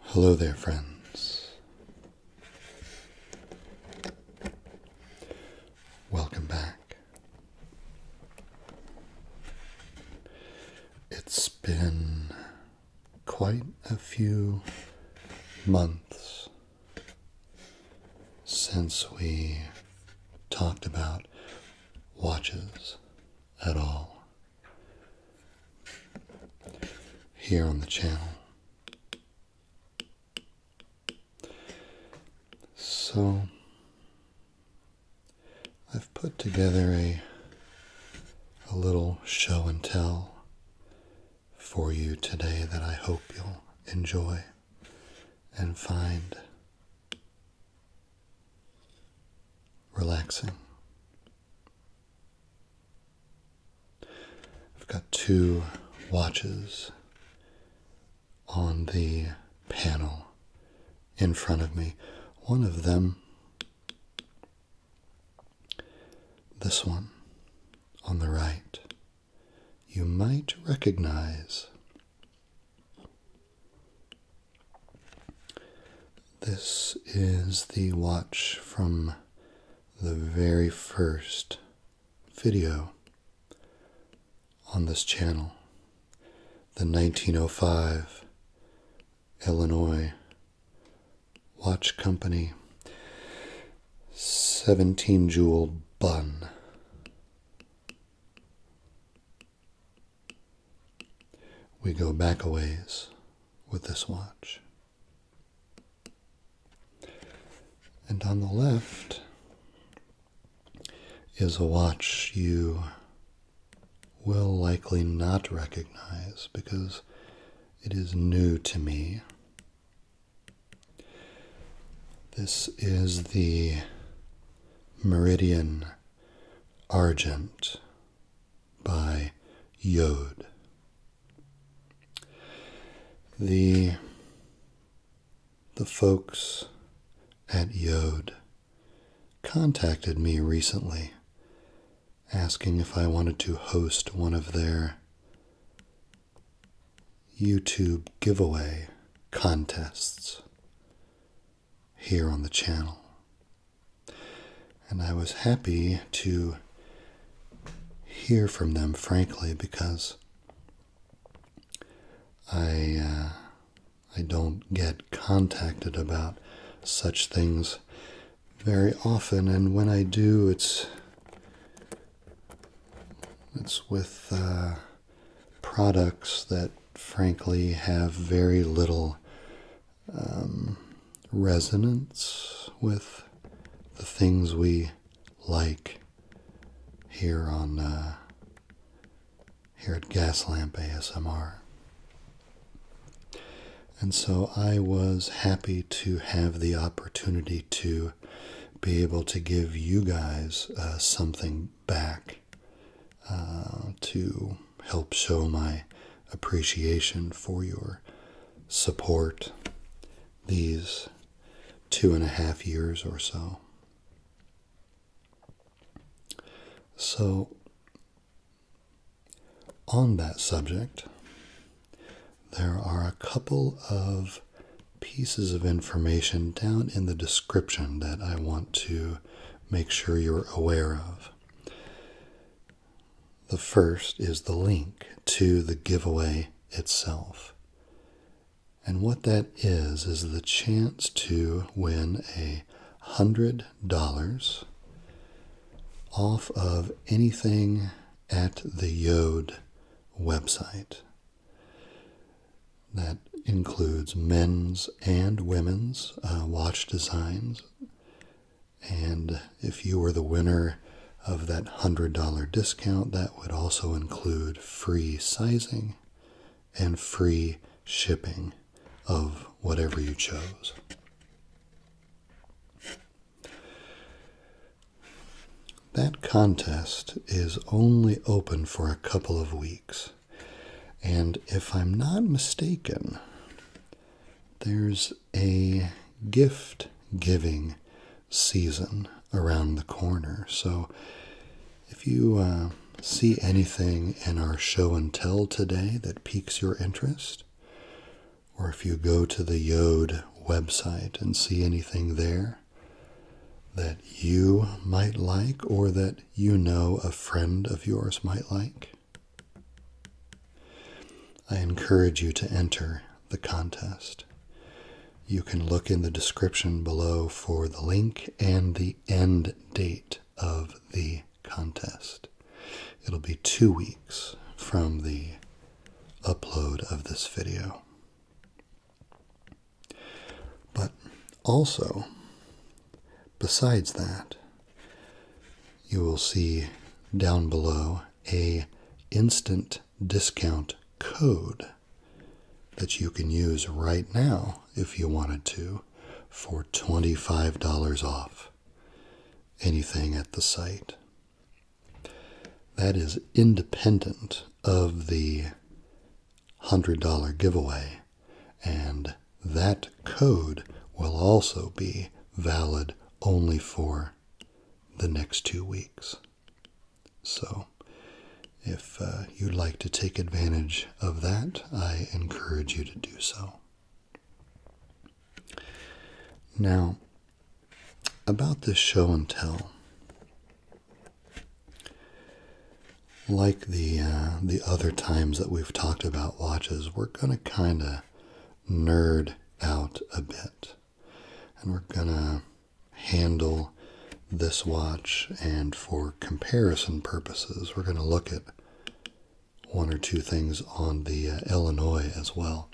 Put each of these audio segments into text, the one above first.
Hello there, friends. Welcome back. It's been quite a few months since we talked about watches at all here on the channel. So I've put together a little show and tell for you today that I hope you'll enjoy and find relaxing. I've got two watches on the panel in front of me. One of them, this one on the right, you might recognize. This is the watch from the very first video on this channel, the 1905 Illinois Watch Company 17 jewel bun we go back a ways with this watch. And on the left is a watch you will likely not recognize because it is new to me this is the Meridian Argent by Yod. The, the folks at Yod contacted me recently asking if I wanted to host one of their YouTube giveaway contests here on the channel. And I was happy to hear from them, frankly, because I uh, I don't get contacted about such things very often, and when I do, it's it's with. Uh, products that frankly have very little um, resonance with the things we like here on uh, here at Gaslamp ASMR. And so I was happy to have the opportunity to be able to give you guys uh, something back uh, to help show my appreciation for your support these two and a half years or so. So, on that subject, there are a couple of pieces of information down in the description that I want to make sure you're aware of. The first is the link to the giveaway itself. And what that is, is the chance to win a $100 off of anything at the Yode website that includes men's and women's uh, watch designs. And if you were the winner of that $100 discount, that would also include free sizing and free shipping of whatever you chose. That contest is only open for a couple of weeks. And if I'm not mistaken, there's a gift giving season around the corner. So if you uh, see anything in our show and tell today that piques your interest, or if you go to the Yode website and see anything there that you might like or that you know a friend of yours might like? I encourage you to enter the contest. You can look in the description below for the link and the end date of the contest. It'll be two weeks from the upload of this video. But also, besides that, you will see down below a instant discount code that you can use right now if you wanted to for $25 off anything at the site. That is independent of the $100 giveaway. And that code will also be valid only for the next two weeks. So, if uh, you'd like to take advantage of that, I encourage you to do so. Now, about this show and tell, like the uh, the other times that we've talked about watches, we're gonna kind of nerd out a bit, and we're gonna handle this watch. And for comparison purposes, we're gonna look at one or two things on the uh, Illinois as well,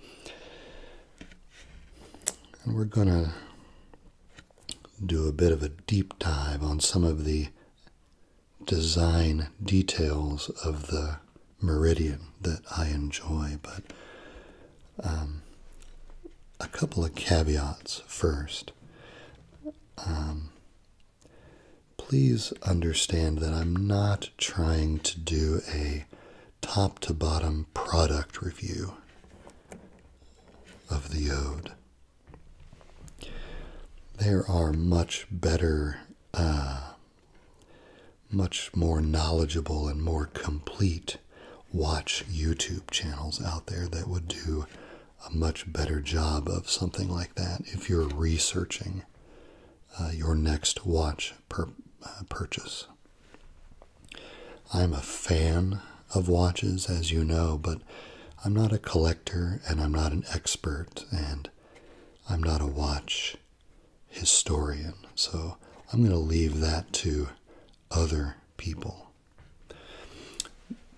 and we're gonna do a bit of a deep dive on some of the design details of the Meridian that I enjoy, but um, a couple of caveats first. Um, please understand that I'm not trying to do a top to bottom product review of the Ode. There are much better, uh, much more knowledgeable, and more complete watch YouTube channels out there that would do a much better job of something like that if you're researching uh, your next watch uh, purchase. I'm a fan of watches, as you know, but I'm not a collector and I'm not an expert and I'm not a watch historian. So I'm going to leave that to other people.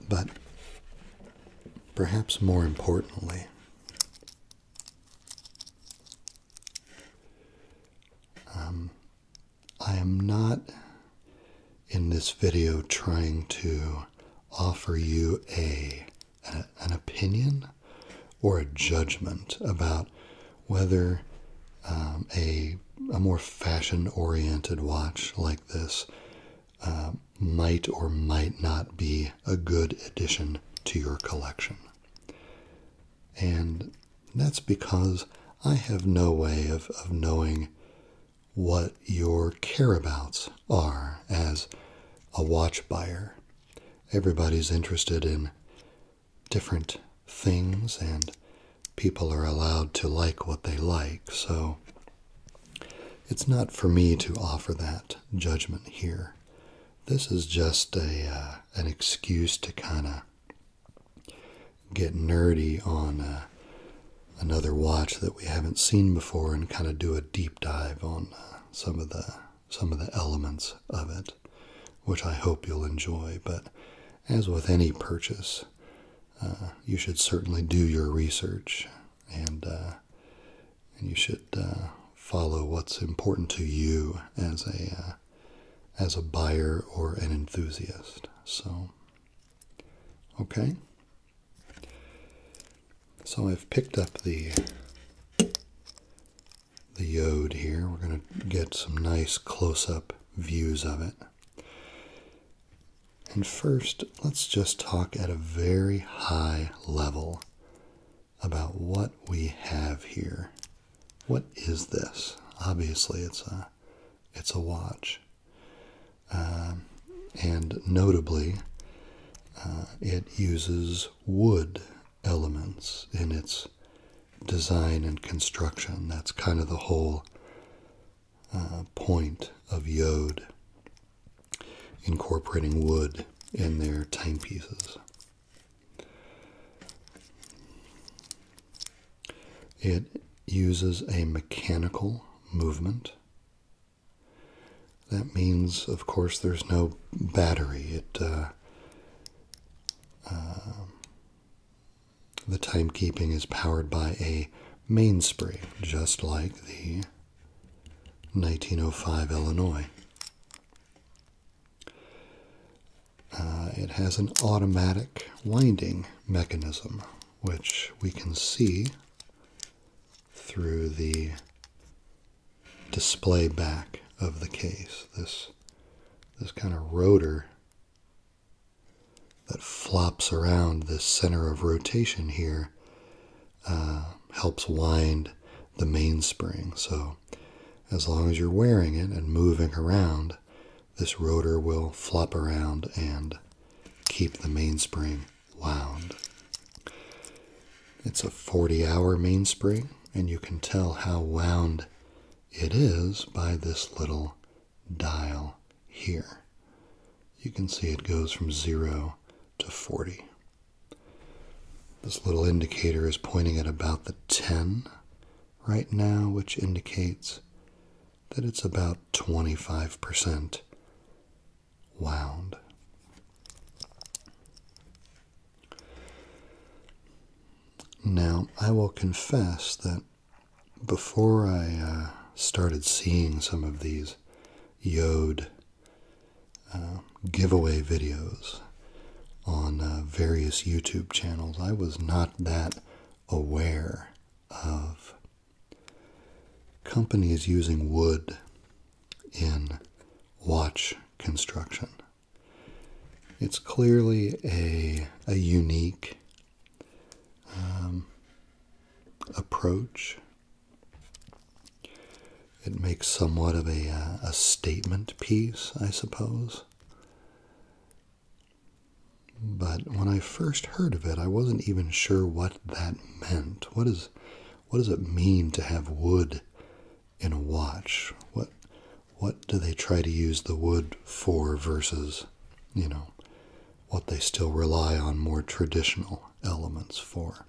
But perhaps more importantly, um, I am not in this video trying to offer you a, an opinion or a judgment about whether um, a a more fashion-oriented watch like this uh, might or might not be a good addition to your collection. And that's because I have no way of, of knowing what your careabouts are as a watch buyer. Everybody's interested in different things, and people are allowed to like what they like. So it's not for me to offer that judgment here. This is just a uh, an excuse to kind of get nerdy on uh, another watch that we haven't seen before and kind of do a deep dive on uh, some of the some of the elements of it, which I hope you'll enjoy. But as with any purchase, uh, you should certainly do your research and and you should follow what's important to you as a as a buyer or an enthusiast. So, okay. So I've picked up the the yod here. We're going to get some nice close-up views of it. And first, let's just talk at a very high level about what we have here. What is this? Obviously, it's a it's a watch. Um, and notably, uh, it uses wood elements in its design and construction. That's kind of the whole uh, point of Yode, incorporating wood in their timepieces. It uses a mechanical movement that means, of course, there's no battery. It uh, um, the timekeeping is powered by a mainspring, just like the 1905 Illinois. Uh, it has an automatic winding mechanism, which we can see through the display back of the case. This this kind of rotor that flops around the center of rotation here uh, helps wind the mainspring. So as long as you're wearing it and moving around, this rotor will flop around and keep the mainspring wound. It's a 40 hour mainspring, and you can tell how wound it is by this little dial here. You can see it goes from 0 to 40. This little indicator is pointing at about the 10 right now, which indicates that it's about 25% wound. Now, I will confess that before I uh, started seeing some of these Yod uh, giveaway videos on uh, various YouTube channels, I was not that aware of companies using wood in watch construction. It's clearly a, a unique um, approach. It makes somewhat of a, uh, a statement piece, I suppose. But when I first heard of it, I wasn't even sure what that meant. What is what does it mean to have wood in a watch? What what do they try to use the wood for versus, you know, what they still rely on more traditional elements for?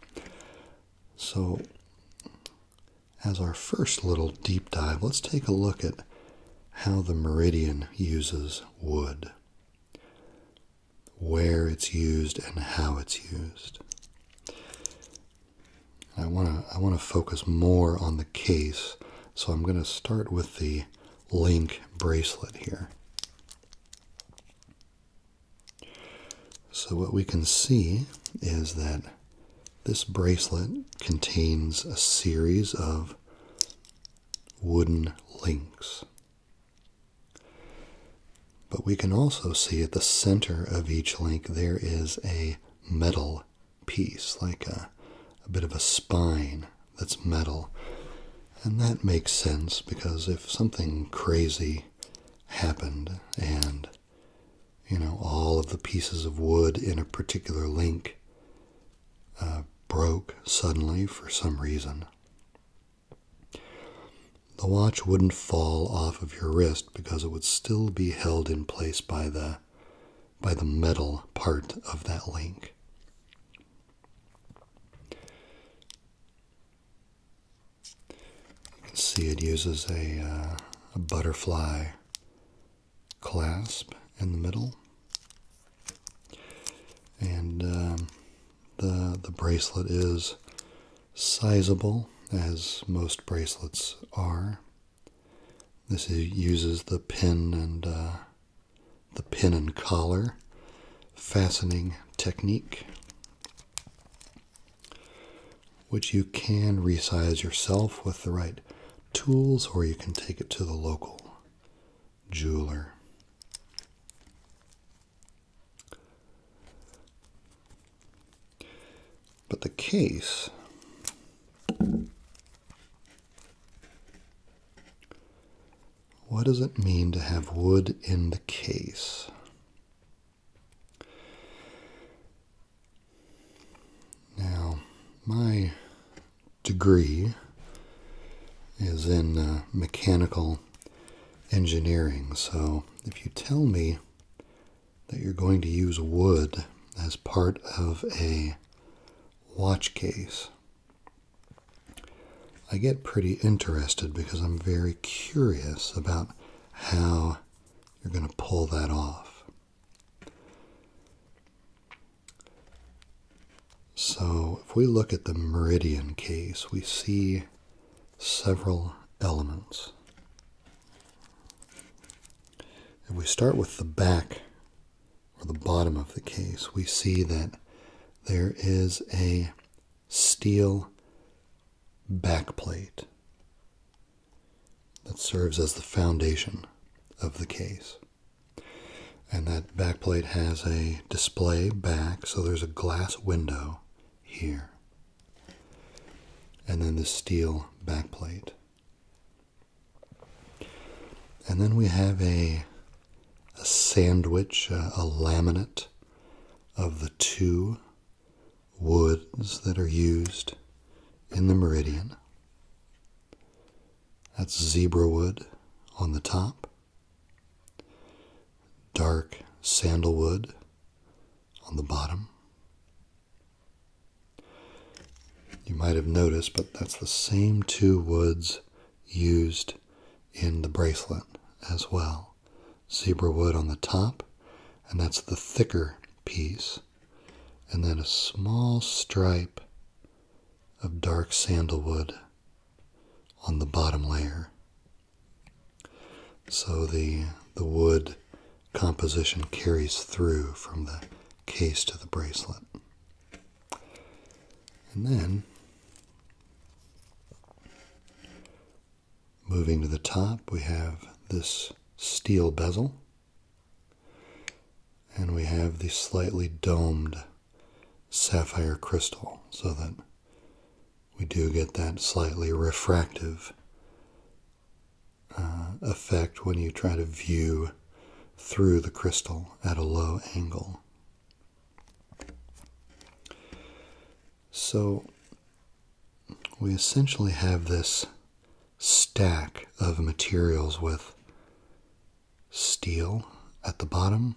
So as our first little deep dive, let's take a look at how the meridian uses wood where it's used and how it's used. I want to I want to focus more on the case, so I'm going to start with the link bracelet here. So what we can see is that this bracelet contains a series of wooden links. But we can also see at the center of each link there is a metal piece, like a, a bit of a spine that's metal. And that makes sense because if something crazy happened and you know all of the pieces of wood in a particular link uh, broke suddenly for some reason the watch wouldn't fall off of your wrist because it would still be held in place by the by the metal part of that link. You can see it uses uh, a, butterfly clasp in the middle. And um, the, the bracelet is sizable, as most bracelets are. This uses the pin and uh, the pin and collar fastening technique, which you can resize yourself with the right tools, or you can take it to the local jeweler. But the case what does it mean to have wood in the case? Now, my degree is in uh, mechanical engineering. So if you tell me that you're going to use wood as part of a watch case, I get pretty interested because I'm very curious about how you're going to pull that off. So, if we look at the meridian case, we see several elements. If we start with the back or the bottom of the case, we see that there is a steel backplate that serves as the foundation of the case. And that Backplate has a display back, so there's a glass window here. And then the steel backplate, And then we have a, a sandwich, a laminate of the two woods that are used in the meridian. That's zebra wood on the top dark sandalwood on the bottom. You might have noticed, but that's the same two woods used in the bracelet as well. Zebra wood on the top, and that's the thicker piece, and then a small stripe of dark sandalwood on the bottom layer. So the the wood composition carries through from the case to the bracelet. And then moving to the top, we have this steel bezel and we have the slightly domed sapphire crystal so that we do get that slightly refractive uh, effect when you try to view through the crystal at a low angle. So we essentially have this stack of materials with steel at the bottom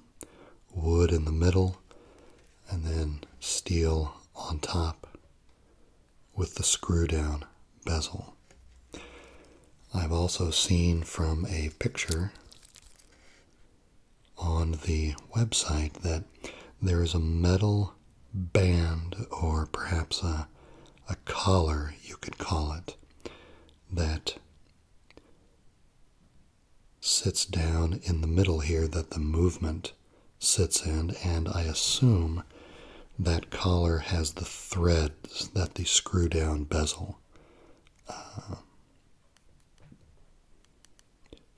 wood in the middle, and then steel on top with the screw down bezel. I've also seen from a picture on the website that there is a metal band or perhaps a, a collar, you could call it, that sits down in the middle here that the movement sits in, and I assume that collar has the threads that the screw down bezel uh,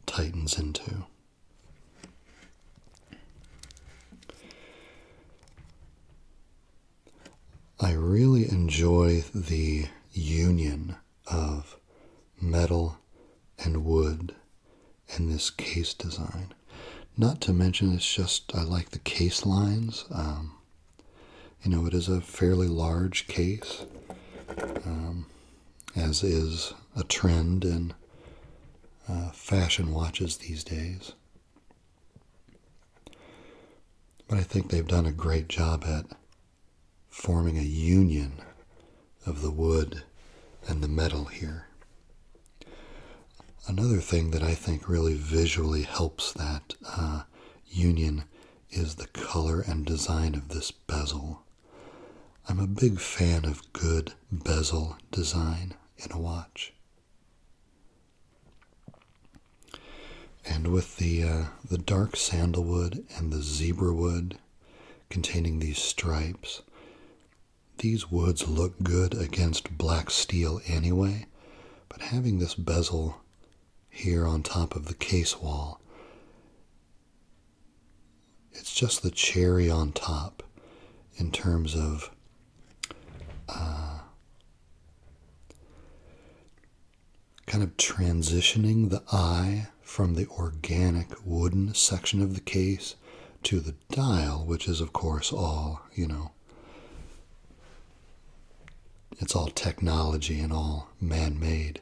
tightens into. I really enjoy the union of metal and wood and this case design. Not to mention, it's just I like the case lines. Um, you know, it is a fairly large case, um, as is a trend in uh, fashion watches these days. But I think they've done a great job at forming a union of the wood and the metal here. Another thing that I think really visually helps that uh, union is the color and design of this bezel. I'm a big fan of good bezel design in a watch. And with the uh, the dark sandalwood and the zebra wood containing these stripes. These woods look good against black steel anyway, but having this bezel here on top of the case wall, it's just the cherry on top in terms of uh, kind of transitioning the eye from the organic wooden section of the case to the dial, which is, of course, all, you know, it's all technology and all man made.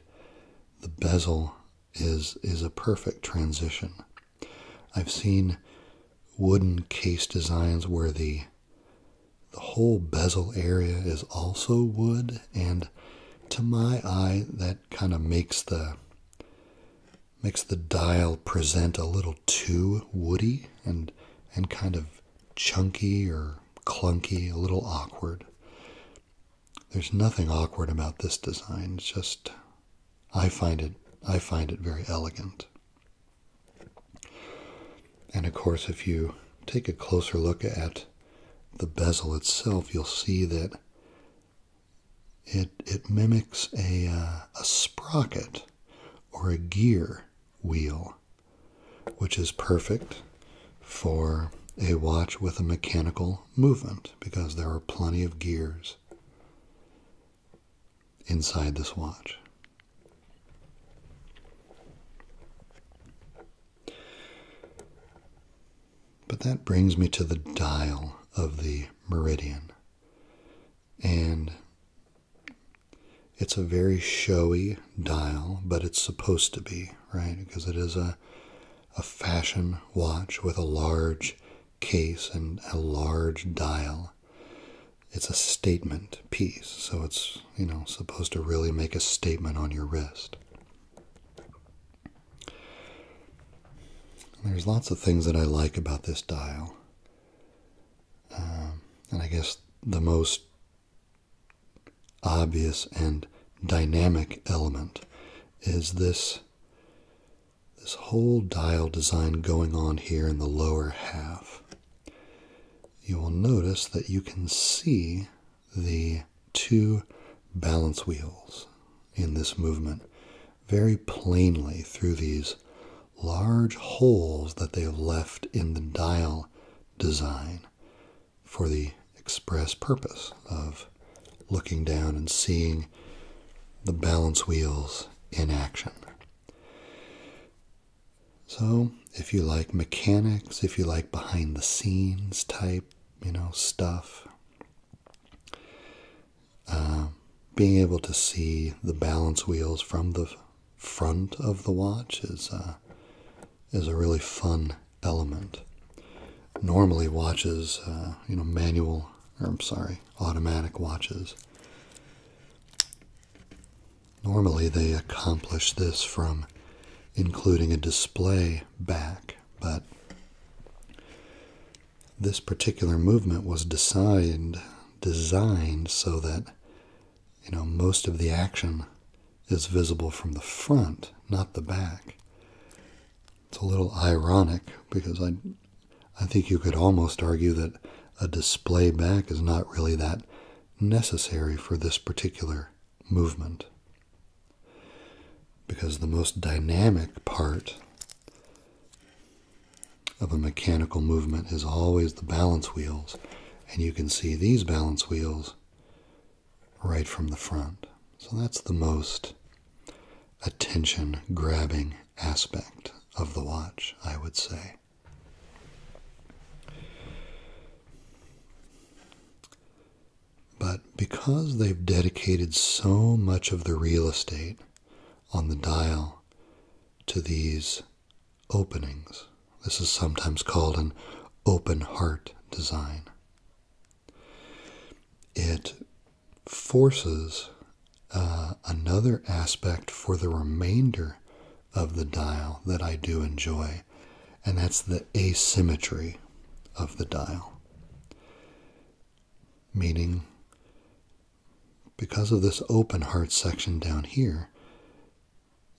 The bezel is, is a perfect transition. I've seen wooden case designs where the the whole bezel area is also wood and to my eye that kind of makes the makes the dial present a little too woody and and kind of chunky or clunky, a little awkward. There's nothing awkward about this design. It's just I find it I find it very elegant. And of course, if you take a closer look at the bezel itself, you'll see that it, mimics uh, a sprocket or a gear wheel, which is perfect for a watch with a mechanical movement because there are plenty of gears inside this watch. But that brings me to the dial of the meridian. And it's a very showy dial, but it's supposed to be, right? Because it is a, a fashion watch with a large case and a large dial. It's a statement piece, so it's, you know, supposed to really make a statement on your wrist. There's lots of things that I like about this dial. Um, and I guess the most obvious and dynamic element is this this whole dial design going on here in the lower half. You will notice that you can see the two balance wheels in this movement very plainly through these large holes that they have left in the dial design for the express purpose of looking down and seeing the balance wheels in action. So, if you like mechanics, if you like behind the scenes type, you know, stuff, uh, being able to see the balance wheels from the front of the watch is uh, is a really fun element. Normally, watches, uh, you know, manual or I'm sorry, automatic watches. Normally, they accomplish this from including a display back but this particular movement was designed designed so that you know most of the action is visible from the front, not the back. It's a little ironic because I I think you could almost argue that a display back is not really that necessary for this particular movement. Because the most dynamic part of a mechanical movement is always the balance wheels, and you can see these balance wheels right from the front. So that's the most attention grabbing aspect of the watch, I would say. But because they've dedicated so much of the real estate on the dial to these openings, this is sometimes called an open heart design, it forces uh, another aspect for the remainder of the dial that I do enjoy, and that's the asymmetry of the dial. Meaning, because of this open heart section down here,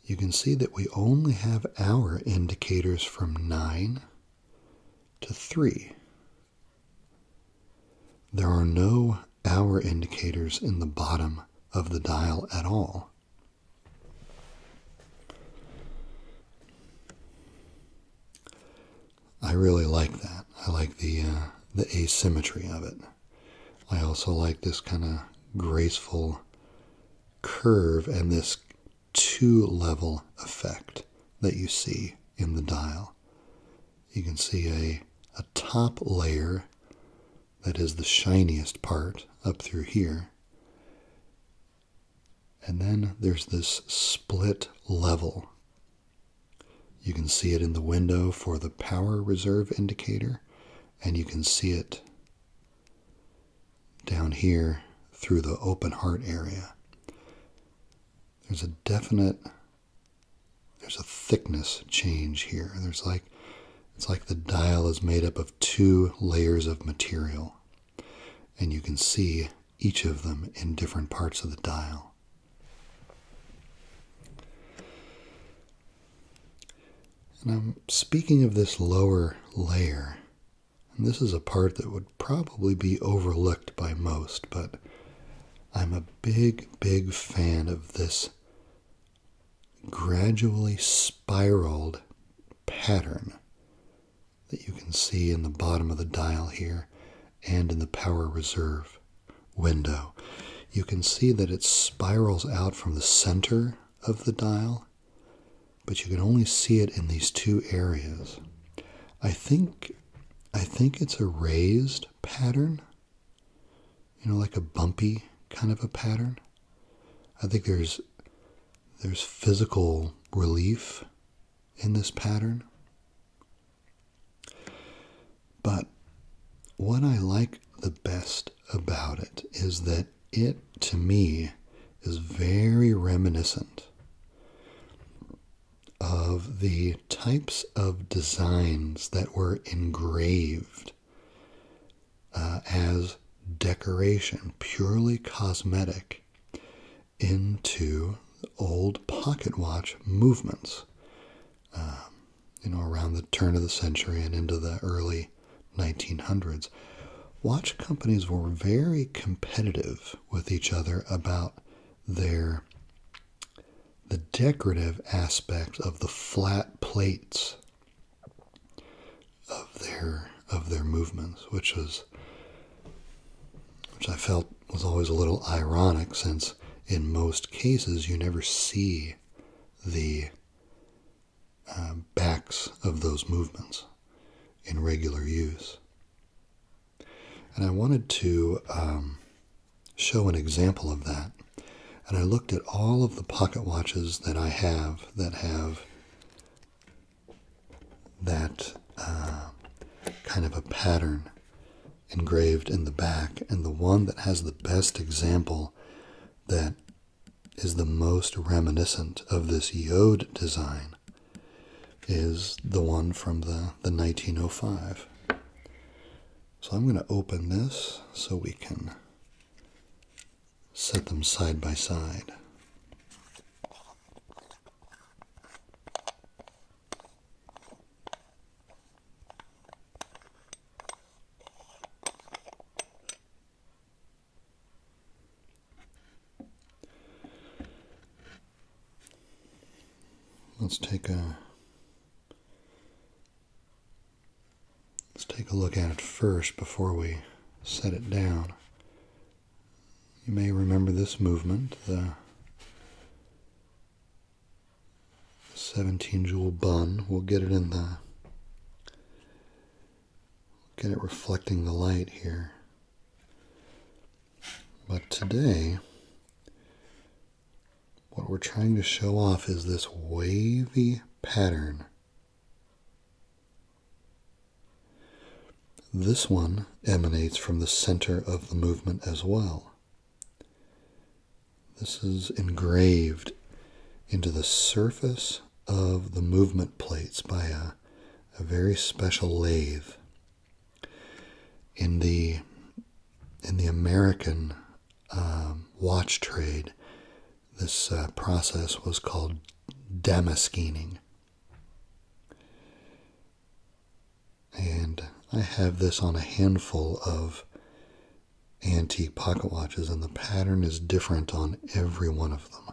you can see that we only have our indicators from 9 to 3. There are no hour indicators in the bottom of the dial at all. I really like that. I like the uh, the asymmetry of it. I also like this kind of graceful curve and this two level effect that you see in the dial. You can see a, a top layer that is the shiniest part up through here, and then there's this split level. You can see it in the window for the power reserve indicator, and you can see it down here through the open heart area. There's a definite there's a thickness change here. There's like it's like the dial is made up of two layers of material. And you can see each of them in different parts of the dial. And I'm speaking of this lower layer, and this is a part that would probably be overlooked by most, but I'm a big, big fan of this gradually spiraled pattern that you can see in the bottom of the dial here and in the power reserve window. You can see that it spirals out from the center of the dial, but you can only see it in these two areas. I think I think it's a raised pattern. You know, like a bumpy kind of a pattern. I think there's there's physical relief in this pattern. But what I like the best about it is that it, to me, is very reminiscent of the types of designs that were engraved uh, as decoration, purely cosmetic, into old pocket watch movements, um, you know, around the turn of the century and into the early 1900s. Watch companies were very competitive with each other about their the decorative aspect of the flat plates of their of their movements, which was which I felt was always a little ironic since in most cases you never see the uh, backs of those movements in regular use. And I wanted to um, show an example of that. And I looked at all of the pocket watches that I have that have that uh, kind of a pattern engraved in the back. And the one that has the best example that is the most reminiscent of this Yod design is the one from the, the 1905. So I'm going to open this so we can set them side by side. Let's take a Let's take a look at it first before we set it down. You may remember this movement, the 17 joule bun. We'll get it in the get it reflecting the light here. But today, what we're trying to show off is this wavy pattern this one emanates from the center of the movement as well. This is engraved into the surface of the movement plates by a, very special lathe. In the in the American um, watch trade, this uh, process was called damascening. And I have this on a handful of antique pocket watches, and the pattern is different on every one of them.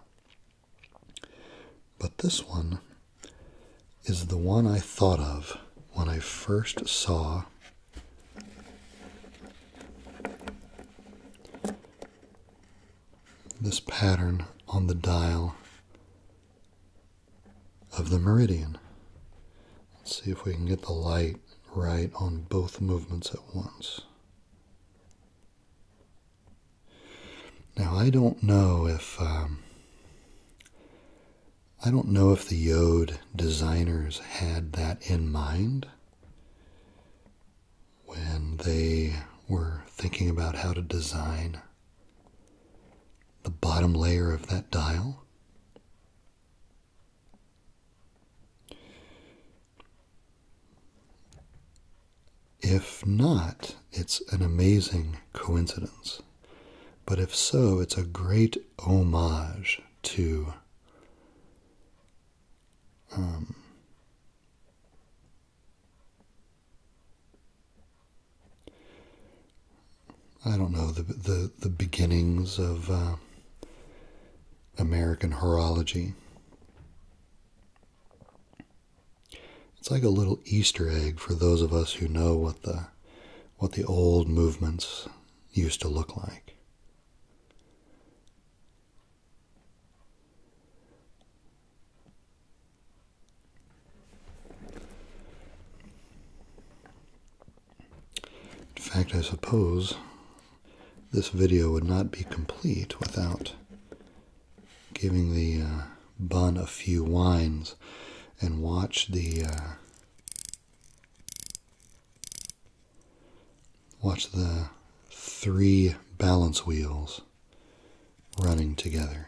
But this one is the one I thought of when I first saw this pattern on the dial of the meridian. Let's see if we can get the light right on both movements at once. Now I don't know if um, I don't know if the Yode designers had that in mind when they were thinking about how to design the bottom layer of that dial. If not, it's an amazing coincidence. But if so, it's a great homage to um, I don't know the the, the beginnings of uh, American horology. It's like a little Easter egg for those of us who know what the what the old movements used to look like. In fact, I suppose this video would not be complete without giving the uh, bun a few wines and watch the uh, watch the three balance wheels running together.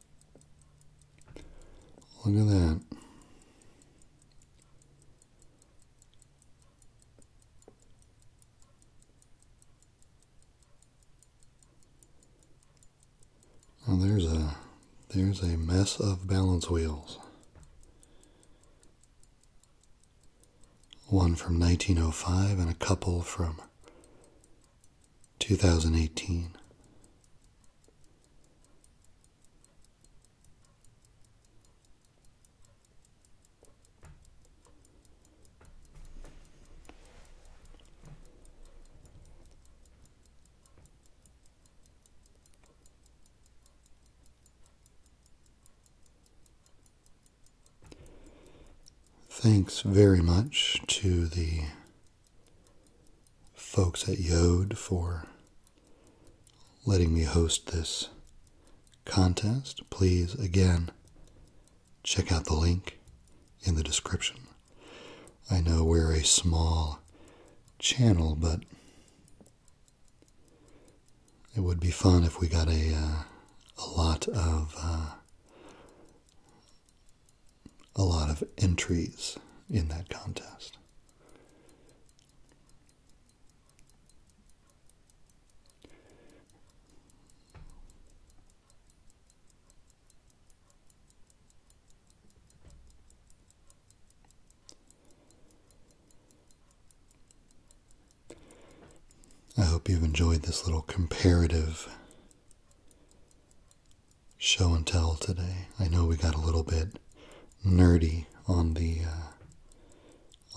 Look at that. there's a there's a mess of balance wheels. One from 1905 and a couple from 2018. Thanks very much to the folks at Yode for letting me host this contest. Please, again, check out the link in the description. I know we're a small channel, but it would be fun if we got a, uh, a lot of uh, a lot of entries in that contest. I hope you've enjoyed this little comparative show and tell today. I know we got a little bit nerdy on the uh,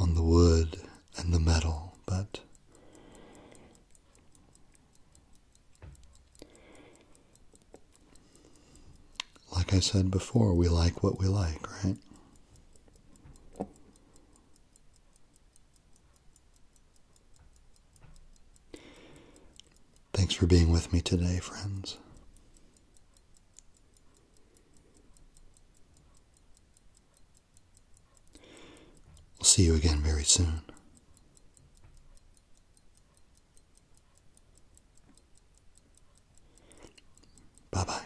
on the wood and the metal, but like I said before, we like what we like, right? Thanks for being with me today, friends. We'll see you again very soon. Bye bye.